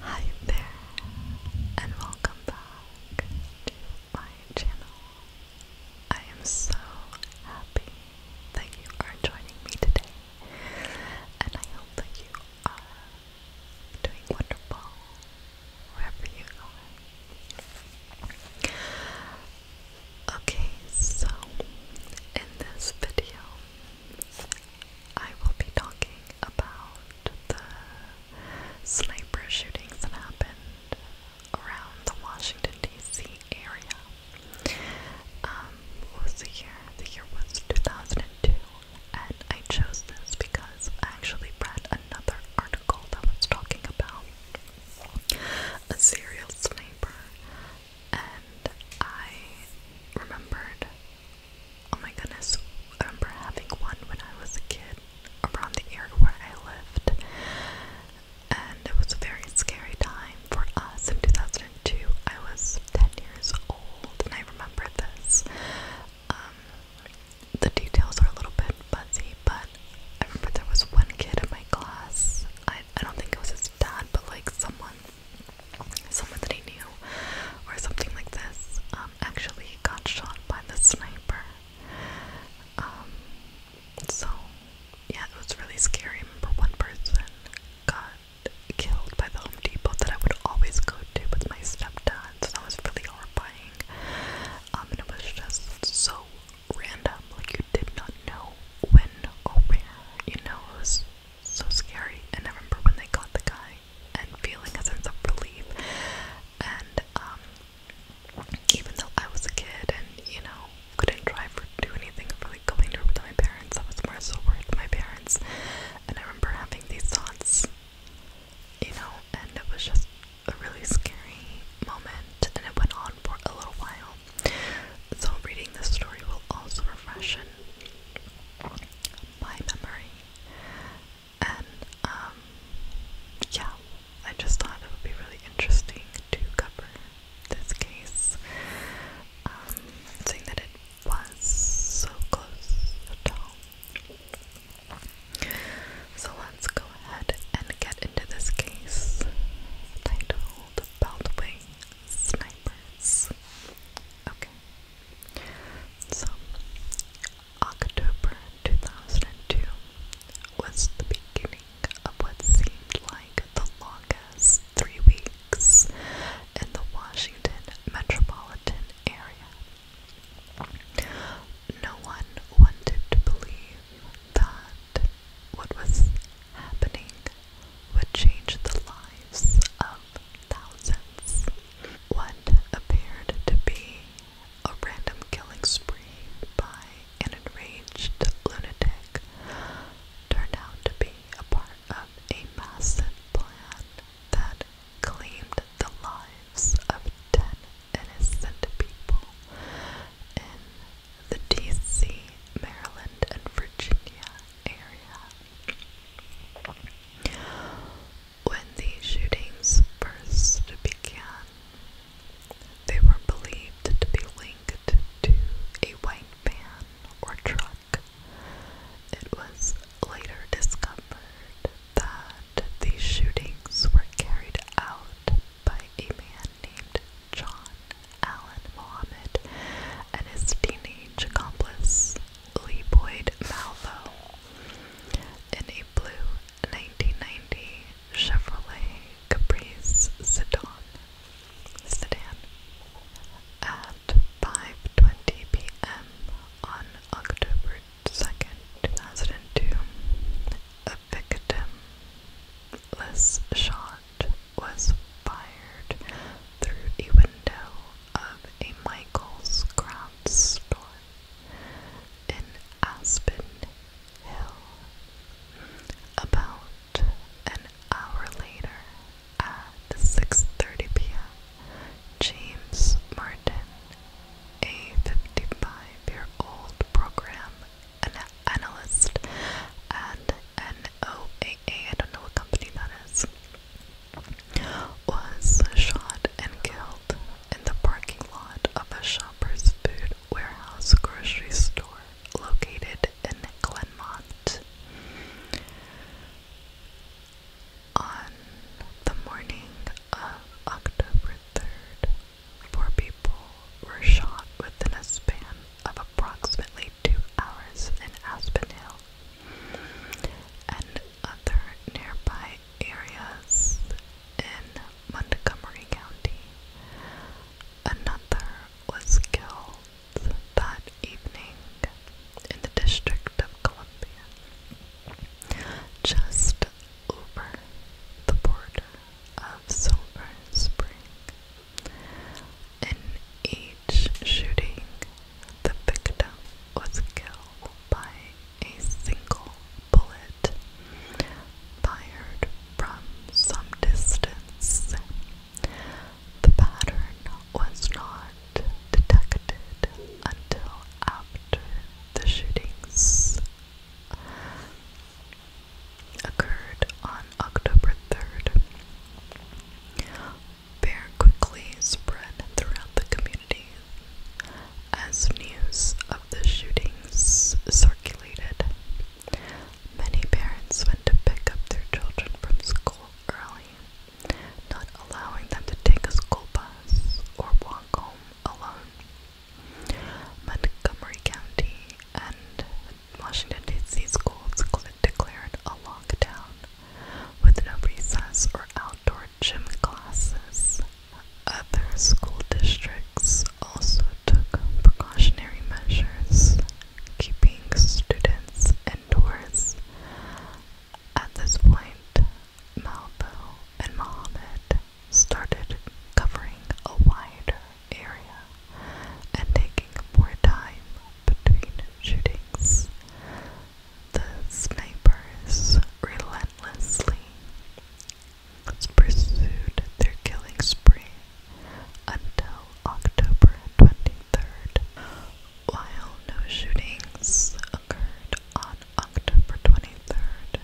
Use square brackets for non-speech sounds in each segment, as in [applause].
Hi there, and welcome back to my channel. I am so happy that you are joining me today, and I hope that you are doing wonderful wherever you are. Okay, so in this video, I will be talking about the sniper shootings that happened around the Washington, D.C. area. Um, the year? The year was 2002, and I chose this because I actually read another article that was talking about a serial sniper, and I remembered Oh my goodness, I remember having one when I was a kid around the area where I lived, and it was a very scary time for us in 2002. I was 10 years old, and I remember this. Um, the details are a little bit fuzzy, but I remember there was one kid in my class. I, I don't think it was his dad, but like someone, someone that he knew, or something like this. Um, actually he got shot by the sniper. Um, so yeah, it was really scary. remember one person got killed by the Home Depot that I would always go to with my stepdad, so that was really horrifying. Um, it was just so random, like you did not know when or where, you know, it was so scary. And remember when they got the guy, and feeling a sense of relief. And um, even though I was a kid and you know couldn't drive or do anything, really going over to my parents, I was more sober with my parents. And I remember having these thoughts, you know, and it was just a really scary moment, and it went on for a little while. So reading this story will also refresh my memory and um, yeah, I just thought it would be really interesting to cover this case, um, seeing that it was so close So let's go ahead and get into this case titled Beltway Snipers. Okay. So, October 2002 was the beginning of what seemed like the longest three weeks in the Washington metropolitan area. No one wanted to believe that what was happening would change the lives of thousands. What appeared to be a random killing spree by an enraged lunatic turned out to be a part of a mass plan that claimed the lives of ten innocent people in the DC, Maryland, and Virginia area. When these shootings first began, they were believed to be linked to a white van or truck. It was later discovered that these shootings were carried out by a man named John Allen Muhammad and his teenage accomplice, Leboyd Malvo in a blue 1990 Chevrolet Caprice sedan, at 5.20 p.m. on October 2nd, 2002. A victimless shot was fired through a window of a Michael's craft store in Aspen Hill. About an hour later, at 6:30 p.m., James Martin, a 55-year-old program analyst at NOAA, I don't know what company that is, was shot and killed in the parking lot of a shopper's food warehouse grocery store located in Glenmont. On the morning of October 3rd, four people were shot within a span of approximately two hours in Aspen Hill and other nearby areas in Montgomery County. Another was killed that evening in the District of Columbia, just over the border of Silver Spring. In each shooting, the victim was killed by a single bullet fired from some distance. The pattern was not detected until after the shootings occurred on October 3rd. Bear quickly spread throughout the community as news of the shootings circulated. Many parents went to pick up their children from school early, not allowing them to take a school bus or walk home alone. Montgomery County and Washington, D.C. schools declared a lockdown with no recess or outdoor gym classes. Other school districts also took precautionary measures, keeping students indoors. At this point, Malvo and Mohammed started covering a wider area and taking more time between shootings. The snipers relentlessly pursued their killing spree until October 23rd. While no shootings occurred on October 23rd,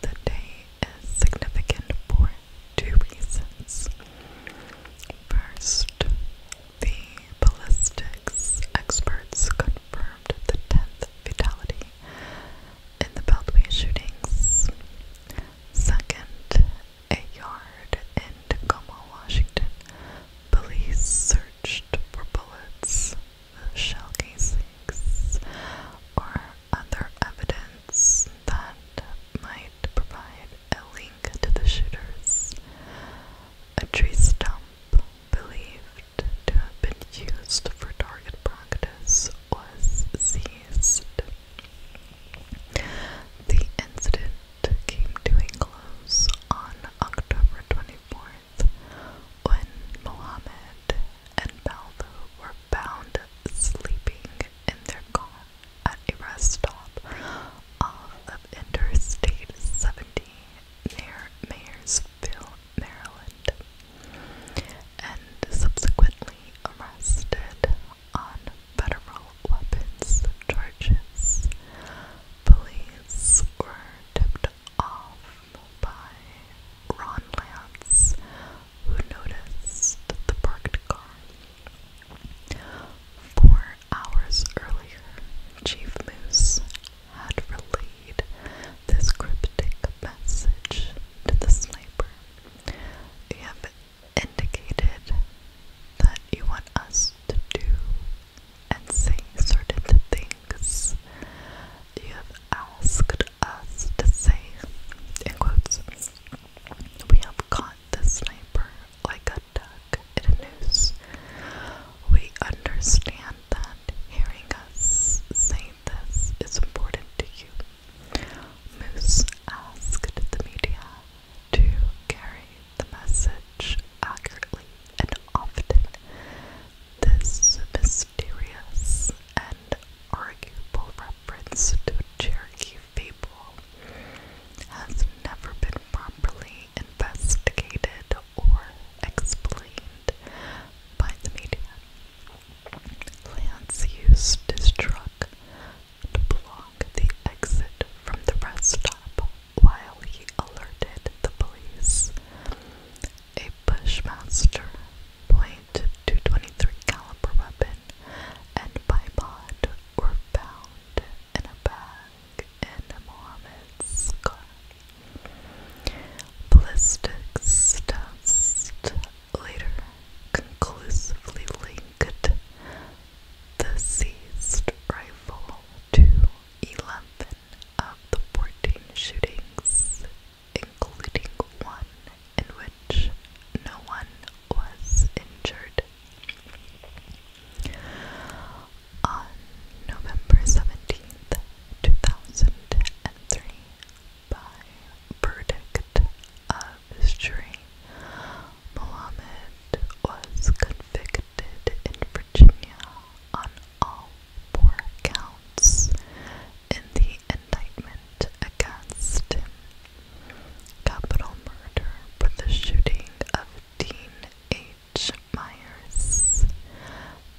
the day is significant for two reasons. First, the ballistics experts confirmed the 10th fatality in the Beltway shootings. Second, a yard in Tacoma, Washington. Police searched for bullets, shell casings, or other evidence that might provide a link to the shooters. A tree stump believed to have been used for target practice was seized. The incident came to a close on October 24th when Mohammed and Balbo were found sleeping in their car at a rest stop off of Interstate 70 near Mayersville, Maryland, and subsequently arrested on federal weapons charges. Police were tipped off by Ron Lance, who noticed the parked car. Four hours earlier, Chief Moose had relayed this cryptic message to the sniper. You have indicated that you want us to do and say certain things. You have asked us to say, in quotes, we have caught the sniper like a duck in a noose. We understand that hearing us say this is important to you. Moose asked the media to carry the message accurately and often. This mysterious and arguable reference to Cherokee people has never been properly investigated or explained by the media. Lance used his truck to block the exit from the rest stop while he alerted the police. A Bushmaster .223 caliber weapon and bipod were found in a bag and Mohammed Scott. Ballistics tests later conclusively linked the seized rifle to 11 of the 14 shootings, including one in which no one was injured. On November 17th, 2003, by verdict of jury, Mohammed was convicted in Virginia on all four counts in the indictment against Capital murder for the shooting of Dean H. Myers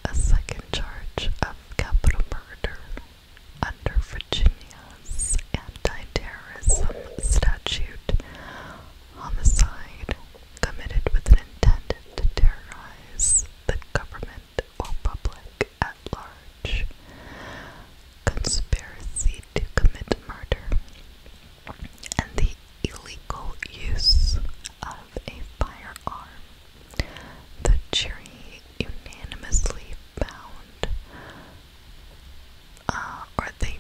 a second charge of capital murder under Virginia's anti-terrorism statute, homicide committed with an intent to terrorize the government or public at large, conspiracy to commit murder, and the illegal use of a firearm. The jury unanimously found, uh, or they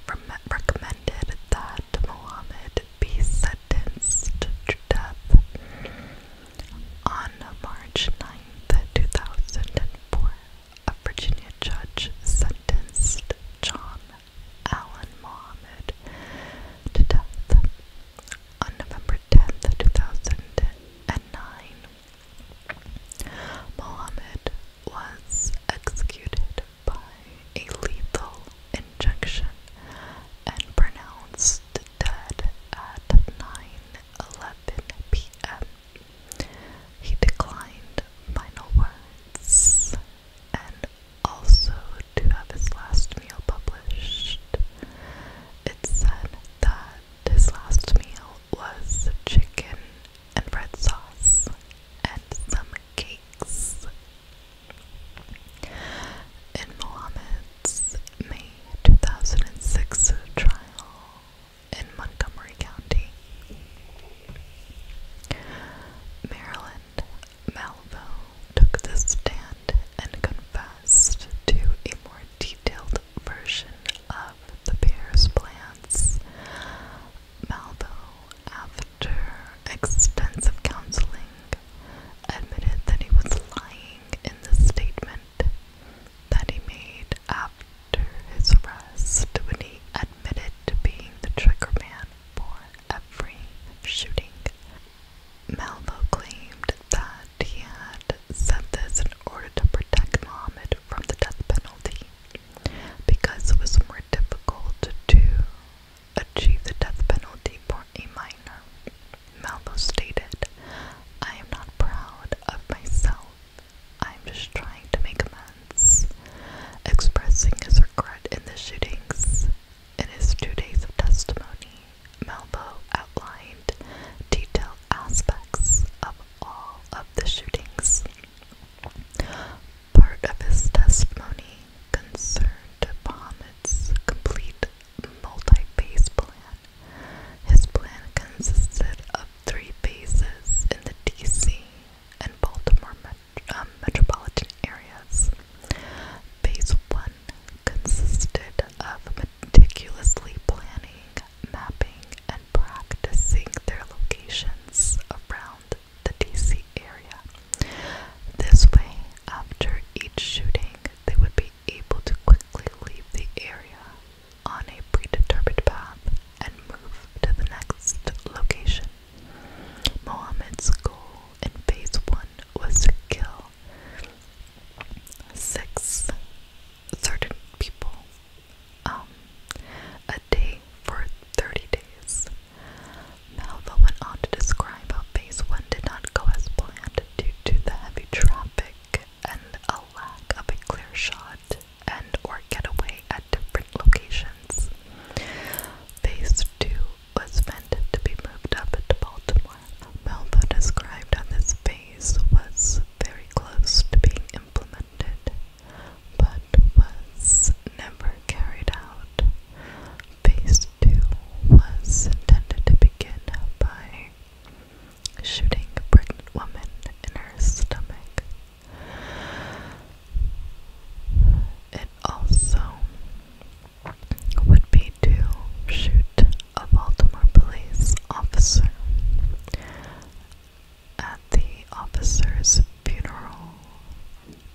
recommended that Muhammad be sentenced to death on March 9th, 2004. A Virginia judge sentenced John Allen Muhammad to death on November 10th, 2009, Muhammad was executed by a lethal injection and pronounced dead at 9:11 p.m. He declined final words also to have his last meal published. It said that his last meal was chicken and bread sauce and some cakes. In Mohammed's May 2006 trial in Montgomery County, Maryland Malvo took the stand and confessed to a more detailed version of the pair's plans. Malvo, after extensive counseling, admitted that he was lying in the statement that he made after his arrest when he admitted to being the triggerman for every shooting. Malvo claimed that he had sent this in order to protect Muhammad from the death penalty because it was more difficult to achieve the death penalty for a minor. Malvo stated, I am not proud of myself. I am just trying to make amends. Expressing his regret in the shootings, in his two days of testimony, Malvo outlined detailed aspects of all of the shootings. Part of his testimony concerned Muhammad's complete multi-phase plan. His plan consisted of three bases in the D.C. and Baltimore um, metropolitan areas, Phase 1 consisted of meticulously planning, mapping, and practicing their locations around the DC area. This way, after each shooting, they would be able to quickly leave the area on a predetermined path and move to the next location. Mohammed's goal in phase one was to kill six certain people um, a day for 30 days. Malva went on to describe how phase one did not go as planned due to the heavy traffic and a lack of a clear shot and or getaway at different locations. Phase two was meant to be moved up to Baltimore. Melville described on this phase was very close to being implemented, but was never carried out. Phase 2 was intended to begin by shooting a pregnant woman in her stomach. It also would be to shoot a Baltimore police officer at the officer's funeral.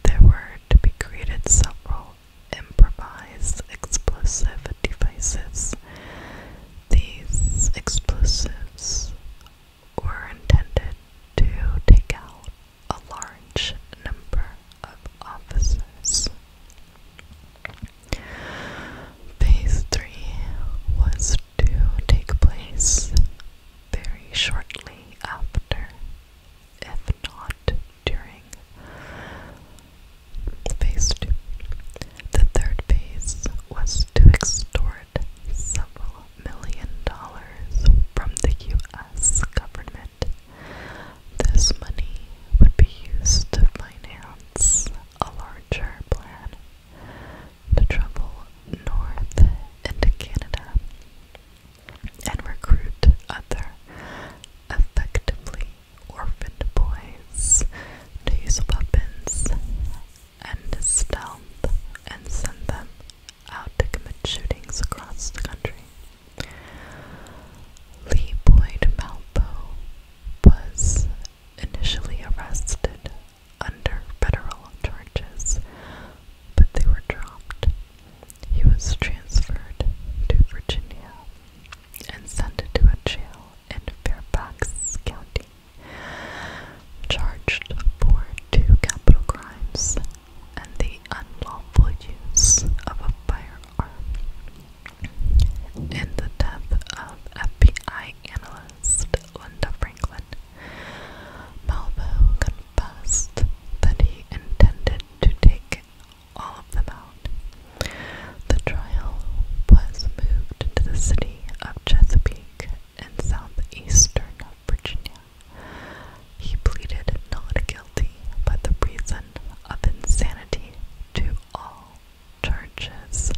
There were to be created several improvised explosive devices. These explosives were intended to take out a large number of officers. Phase 3 was to take place very shortly after, if not during, phase 2. The third phase was to extort several million dollars from the US government this money would be used to finance a larger plan to travel north into Canada and recruit other effectively orphaned boys to use weapons and stealth and send them out to commit shootings across the country. Lee Boyd Malpo was initially arrested under federal charges, but they were dropped. He was transferred to Virginia and sent to a jail in Fairfax County, charged for two capital crimes and the unlawful use of a firearm. In the death of FBI analyst Linda Franklin, Malvo confessed that he intended to take all of them out. The trial was moved to the city of Chesapeake in southeastern Virginia. He pleaded not guilty, but the reason of insanity to all churches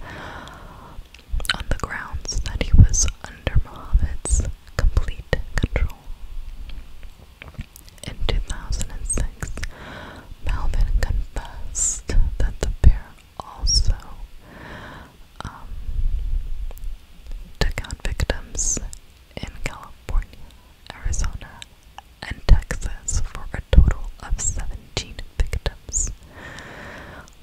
on the grounds that he was under Muhammad's complete control. In 2006, Melvin confessed that the pair also um, took out victims in California, Arizona, and Texas for a total of 17 victims.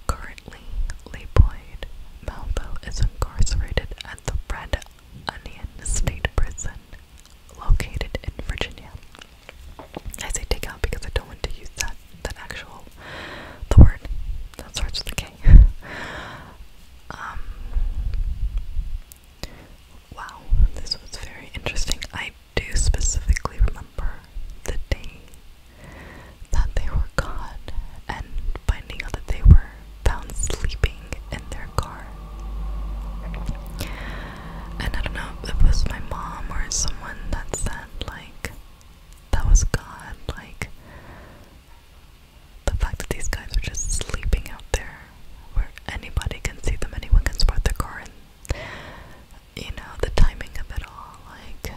Currently, Laboyd Malvo is incarcerated at the Red State Prison located in Virginia. I say take because I don't want to use that that actual the word that starts with a K. [laughs] um Wow, this was very interesting. I do specifically remember the day that they were caught and finding out that they were found sleeping in their car. And I don't know if it was my mom or someone that said, like, that was God, like, the fact that these guys were just sleeping out there where anybody can see them, anyone can spot their car, and you know, the timing of it all. Like,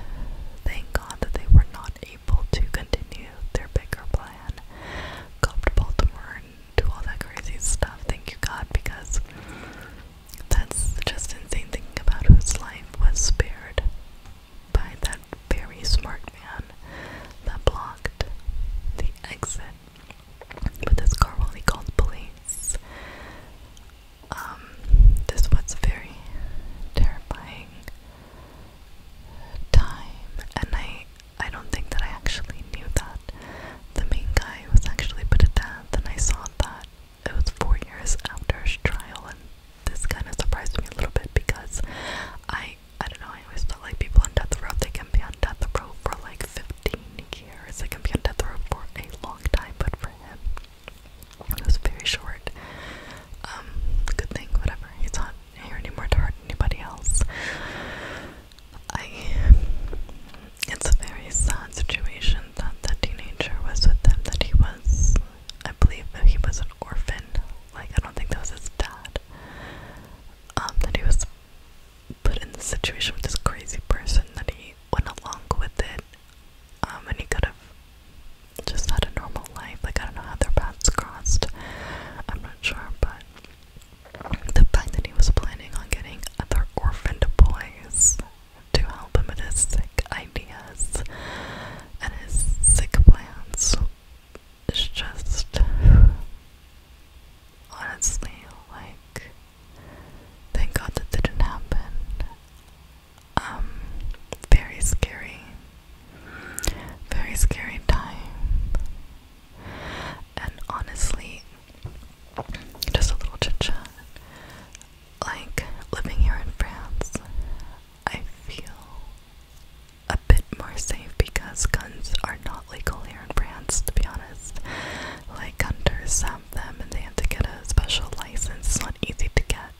thank God that they were not able to continue their bigger plan, go to Baltimore and do all that crazy stuff. Thank you, God, because that's just insane thinking about whose life was spared by that very smart man that blocked the exit but this car while he called police. Um, this was a very terrifying time, and I I don't think that I actually knew that the main guy was actually put to death, and I saw that it was four years after his trial, and this kind of surprised me a little bit because I I don't know I always felt like people on death row they can be on death row for like 15 years. they can be on death row for a long time, but for him, it was very short. Um, good thing, whatever. He's not here anymore to hurt anybody else. I. It's a very sad situation that the teenager was with them. That he was, I believe, that he was an orphan. Like I don't think that was his dad. Um, that he was put in the situation with this crazy person that he went along with it. Um, and he could have just had a normal life. Like, I don't know how their paths crossed. I'm not sure, but the fact that he was planning on getting other orphaned boys to help him with his sick ideas and his sick plans is just honestly, like, thank God that didn't happen. Um, very scary, very scary time. And honestly, just a little chit chat. Like, living here in France, I feel a bit more safe because guns are not legal here in France, to be honest like hunters have them and they have to get a special license. It's not easy to get.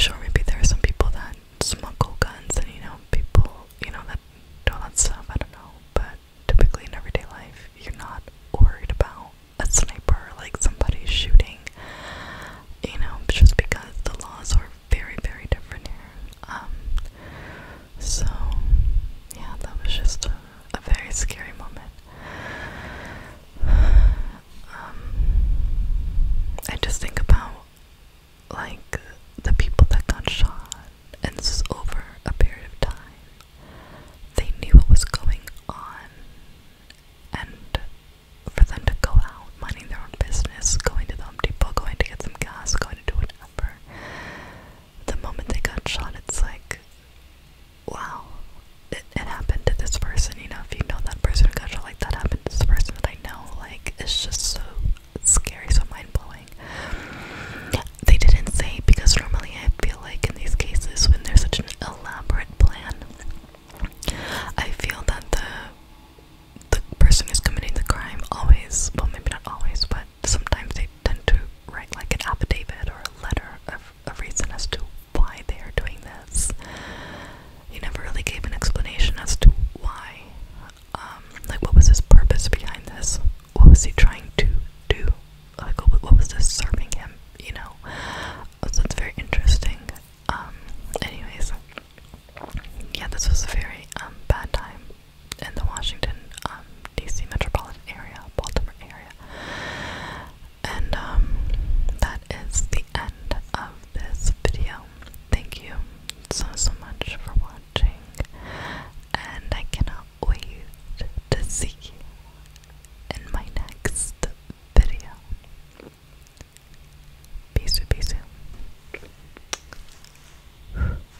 Sure, maybe there are some people that smuggle guns and you know, people, you know, that do all that stuff. I don't know. But typically in everyday life, you're not worried about a sniper, like somebody shooting, you know, just because the laws are very, very different here. Um, so, yeah, that was just a, very scary moment. Um, just think about like the people that got shot, and over a period of time. They knew what was going on, and for them to go out, minding their own business, going to the Home Depot, going to get some gas, going to do whatever, the moment they got shot, it's like, wow, it, happened to this person. You know, if you know that person got shot, like that happened to this person that I know. Like, it's just so scary, so mind blowing. They didn't say because normally I feel like in these cases, when there's such an elaborate plan, I feel that the the person who's committing the crime always, well, maybe not always, but sometimes they tend to write like an affidavit or a letter of a reason as to why they are doing this. He never really gave an explanation as to why. Um, like, what was his purpose behind this? What was he trying to do? Like, what was this serving him? You know? Uh, so it's very interesting. Um, anyways, yeah, this was a very um, bad time in the Washington, um, D.C. metropolitan area, Baltimore area. And um, that is the end of this video. Thank you so, so much for watching. And I cannot wait to see you in my next video. Peace, peace. out.